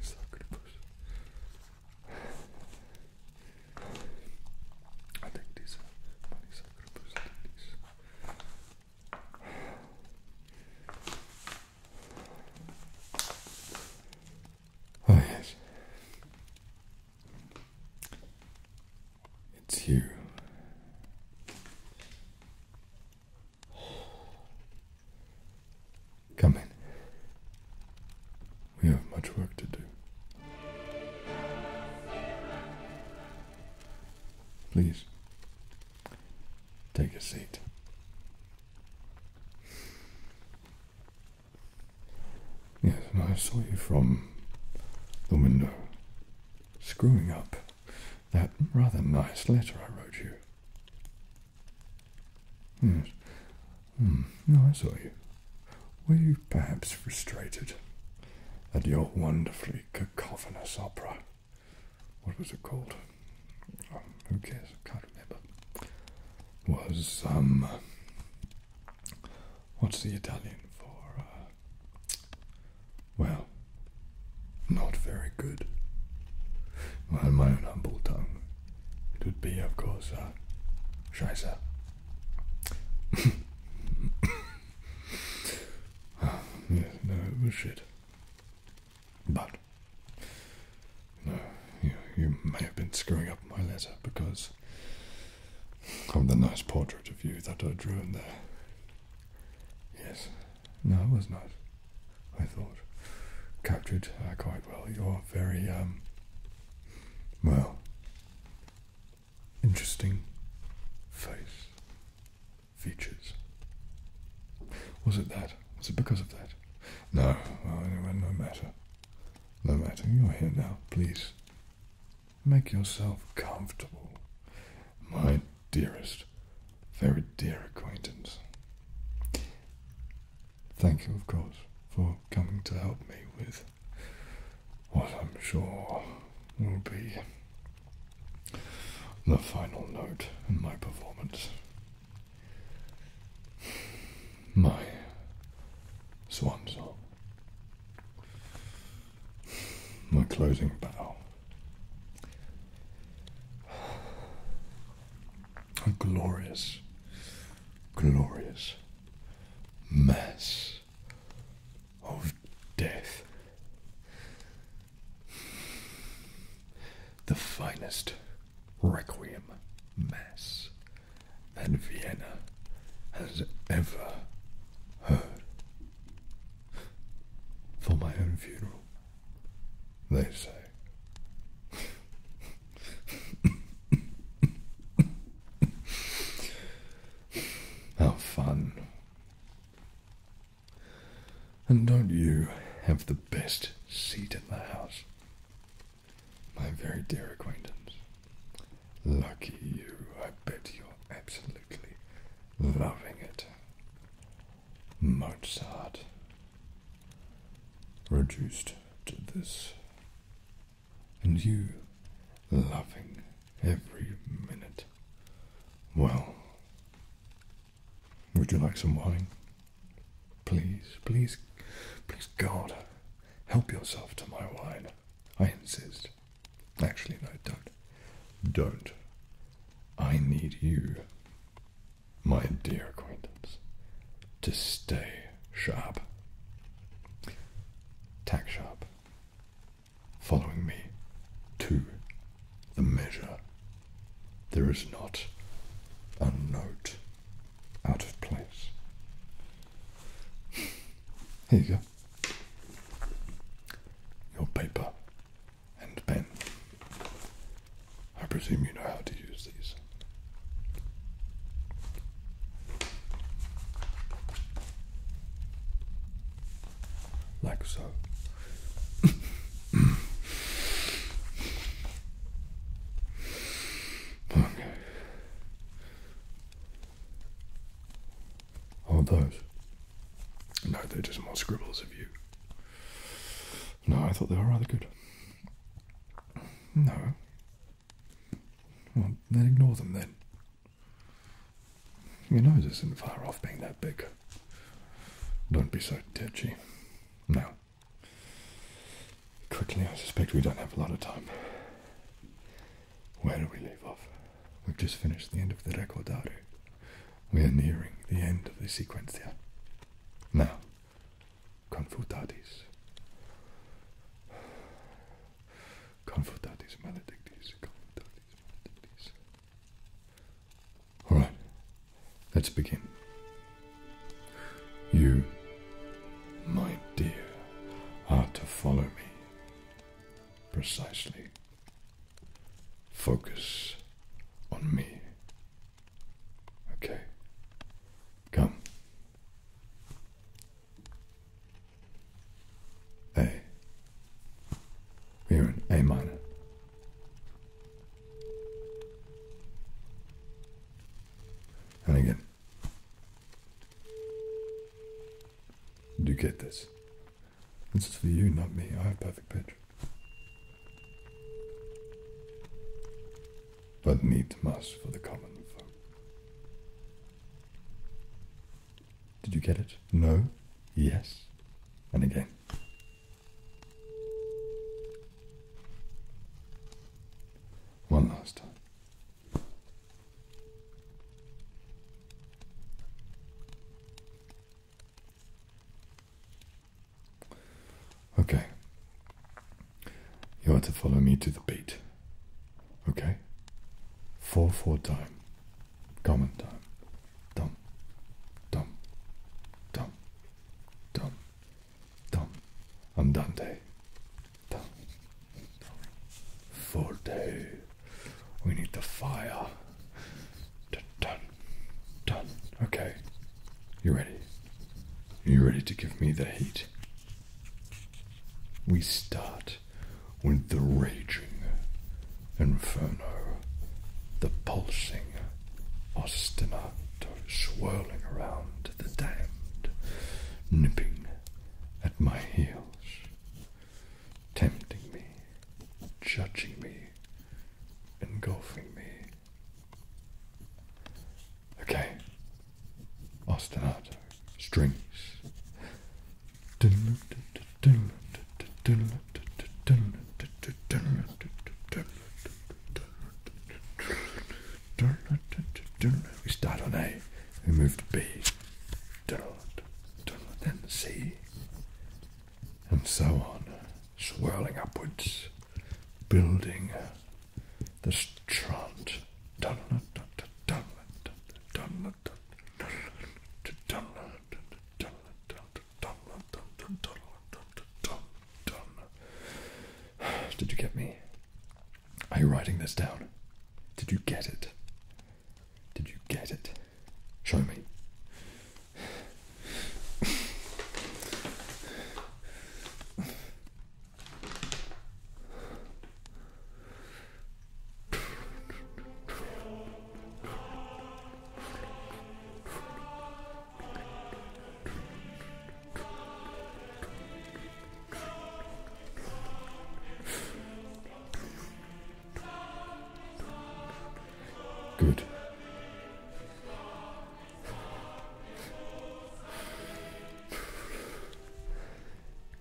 so good push. I think these are money so good push. I think these. Oh, yes. It's you. Come in. We have much work to do. Please, take a seat. Yes, and I saw you from the window screwing up that rather nice letter I wrote you. Yes. Hmm. Hmm. No, I saw you. Were you perhaps frustrated at your wonderfully cacophonous opera? What was it called? Um, who cares? I can't remember. Was, um, what's the Italian for, uh, well, not very good. Well, my own humble tongue, it would be, of course, a uh, shyster. Ah, no, it But, you may have been screwing up my letter because of the nice portrait of you that I drew in there. Yes, no, it was not. I thought captured ah, quite well. You're very um, well interesting face features. Was it that? Was it because of that? No, well, no matter. No matter. You're here now. Please make yourself comfortable, my dearest very dear acquaintance. Thank you, of course, for coming to help me with what I'm sure will be the final note in my performance. My swan song. My closing bow. A glorious, glorious mass of death. The finest requiem mass that Vienna has ever heard for my own funeral they say. How fun. And don't you have the best seat in the house? My very dear acquaintance. Lucky you, I bet you're absolutely loving it. Mozart reduced to this, and you loving every minute. Well, would you like some wine? Please, please, please, God, help yourself to my wine. I insist. Actually, no, don't. Don't. I need you, my dear acquaintance, to stay sharp. Tack sharp. Following me to the measure. There is not a note out of place. Here you go. Your paper and pen. I presume you know how to use these. Like so. okay. Hold those. No, they're just more scribbles of you. No, I thought they were rather good. No. Well, then ignore them then. Your nose isn't far off being that big. Don't be so touchy. Now, quickly, I suspect we don't have a lot of time. Where do we leave off? We've just finished the end of the Recordado. We are nearing the end of the Sequencia. Now, confutatis. Confutatis maledictis, confutatis maledictis. Alright, let's begin. You, my dear, are to follow me precisely Focus on me. Okay. Come. A. We're in A minor. And again. Do you get this? This is for you, not me. I have perfect pitch. But need must for the common folk. Did you get it? No? Yes? And again. One last time. Okay. You are to follow me to the beat. Okay? 4 4 time. Common time. Dum. Dum. Dum. Dum. Dum. Andante. Dum. day. We need the fire. Done, done, dun. Okay. You ready? You ready to give me the heat? We start with the raging inferno, the pulsing ostinato swirling around the damned, nipping at my heels tempting me, judging me, engulfing me. Okay, ostinato, strings. We start on A, we move to B, dirt, then sea, and so on, swirling upwards, building the strand. Did you get me? Are you writing this down? Did you get it? Did you get it? Show me. Good.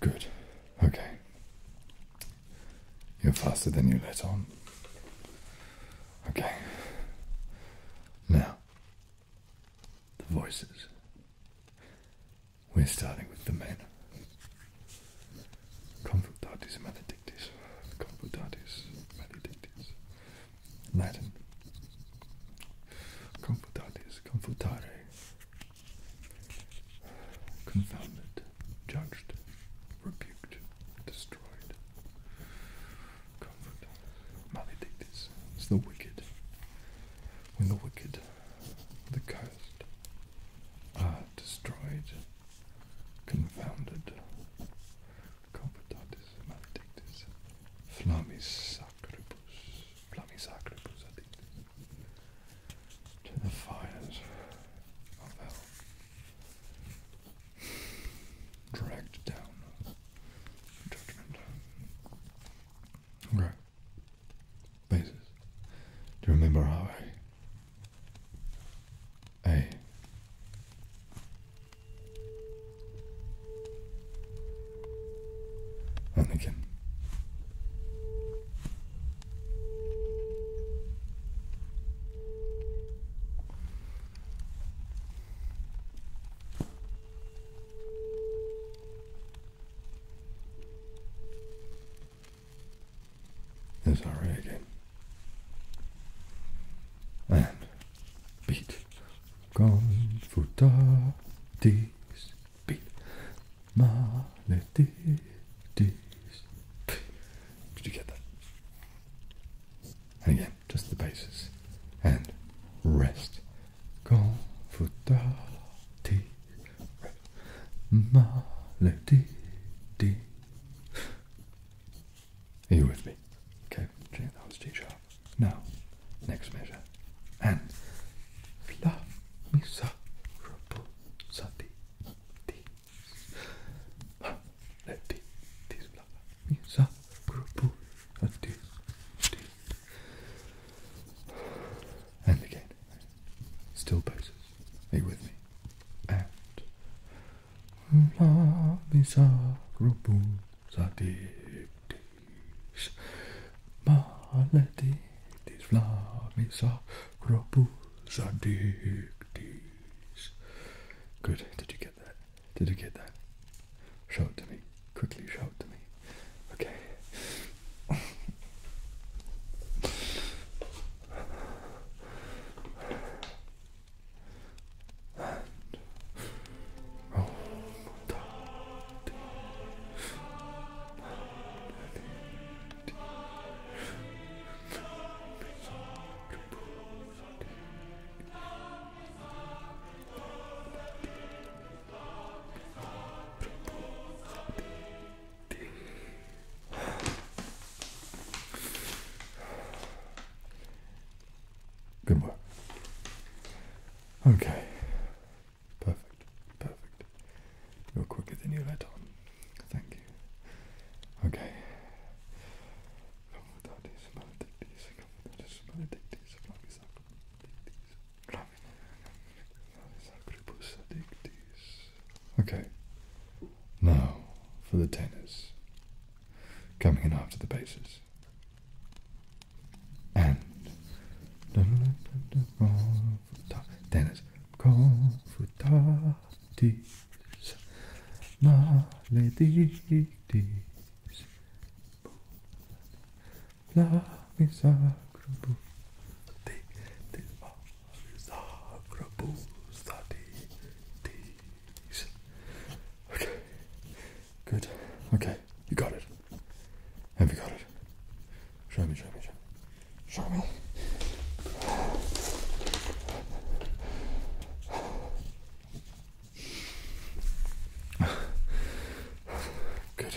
Good. Okay. You're faster than you let on. Okay. Now, the voices. We're starting with the men. Confutatis maledictis. Confutatis maledictis. Latin. Confutatis, confutare. Confounded, judged, rebuked, destroyed. Confutatis maledictis. It's the wicked. When the wicked, the cursed, Ah, destroyed. Confounded. Computatis maledictis. Flammis sacribus. Flammis sacribus addictis. To the fires of hell. Dragged down. Judgment. Okay basis. Do you remember how I, I Anakin. It's alright again. And beat. Gone for daddy's beat. Maledictis. Did you get that? And again, just the bases. And rest. Quand faudra Are you with me? Okay, Now, next measure. And La Misa Reposati Let this La Misa Reposati and again. Still poses. Are you with me? And La miserabilis maledictis la miserabilis addictis. Good. Did you get that? Did you get that? Show it to me quickly shout to me. Okay. Good work. Okay. Perfect. Perfect. You're quicker than you let on. Thank you. Okay. Okay, now for the tenors. Coming in after the basses. And. Tenors. Confutatis. Maledictis. Love is sacrable. The, the love is sacrable. Study these. Okay. Good. Okay. You got it. Have you got it? Show me, show me, show me. Show me. Good.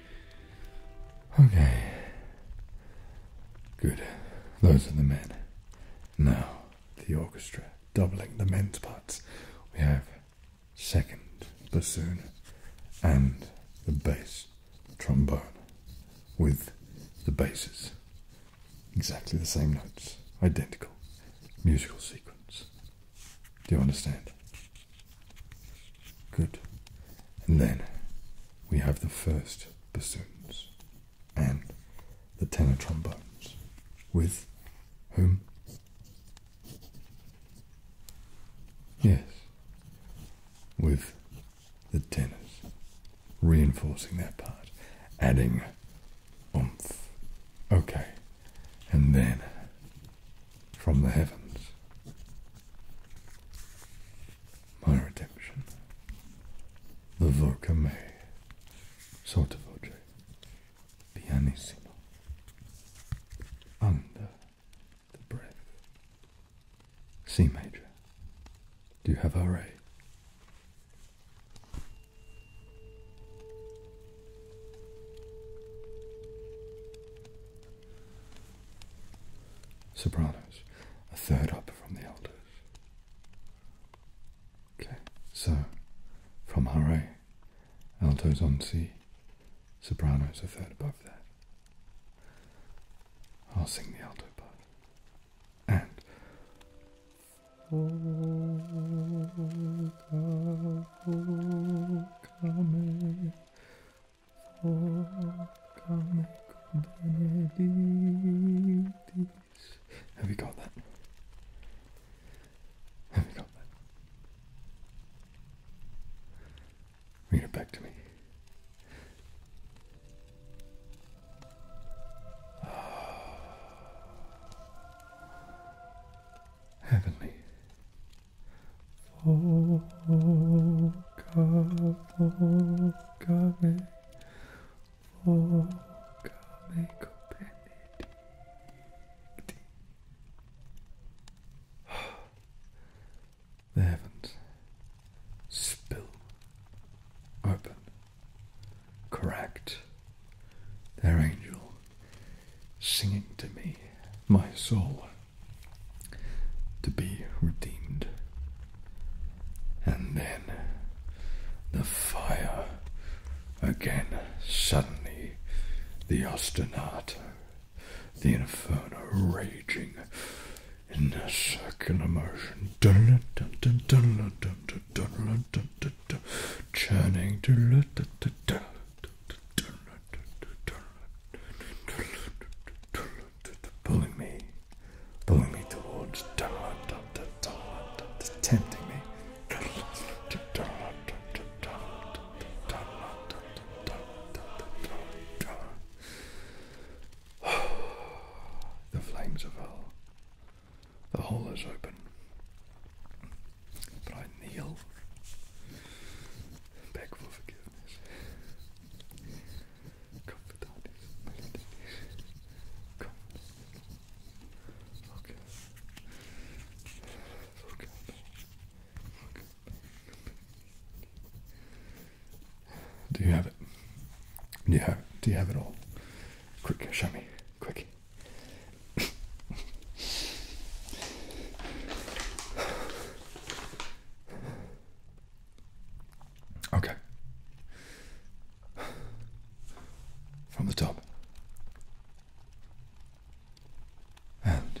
Okay. Good. Those are the men. Now, the orchestra, doubling the men's parts. We have second bassoon and the bass trombone with the basses. Exactly the same notes, identical musical sequence. Do you understand? Good. And then we have the first bassoons and the tenor trombones with whom? Yes, with the tenors reinforcing their part, adding oomph. Okay, and then from the heavens my redemption, the voca me, sotto voce, pianissimo, under the breath, C major. Do you have our A? Sopranos, a third up from the altos. Okay, so from Hare, altos on C, sopranos a third above that. I'll sing the alto part. And kame for kame benedictis. Have we got that? Have we got that? Read it back to me. Heavenly, Folka, folka me, folka me benedicti. The heavens spill open, correct their angel singing to me, my soul, to be redeemed. And then the fire again, suddenly the ostinato, the inferno raging in a circular motion, churning Pulling me, pulling me towards, tempting me. The flames of hell. The hole is open. But I kneel, beg for forgiveness. Do you have it? Do you have, do you have it all? Quick, show me. Quick okay. From the top. And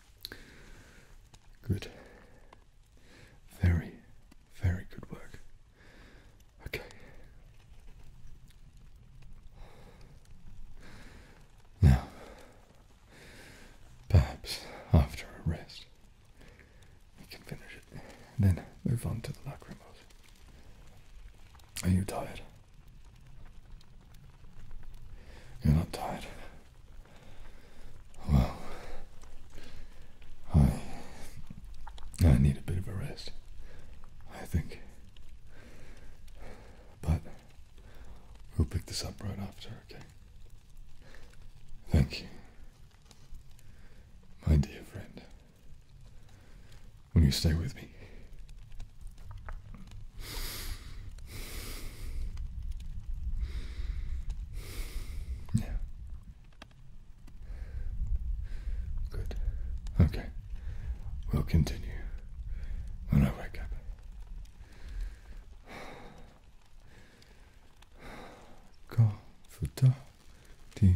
Good. Very, very good work. Okay. Now, perhaps after a rest, we can finish it and then move on to the lachrymals. Are you tired? You're not tired. Well, I I need a bit of a rest. I think. But we'll pick this up right after, okay? Thank you. My dear friend. Will you stay with me? Yeah. Good. Okay. We'll continue when I wake up. Go for dark teas.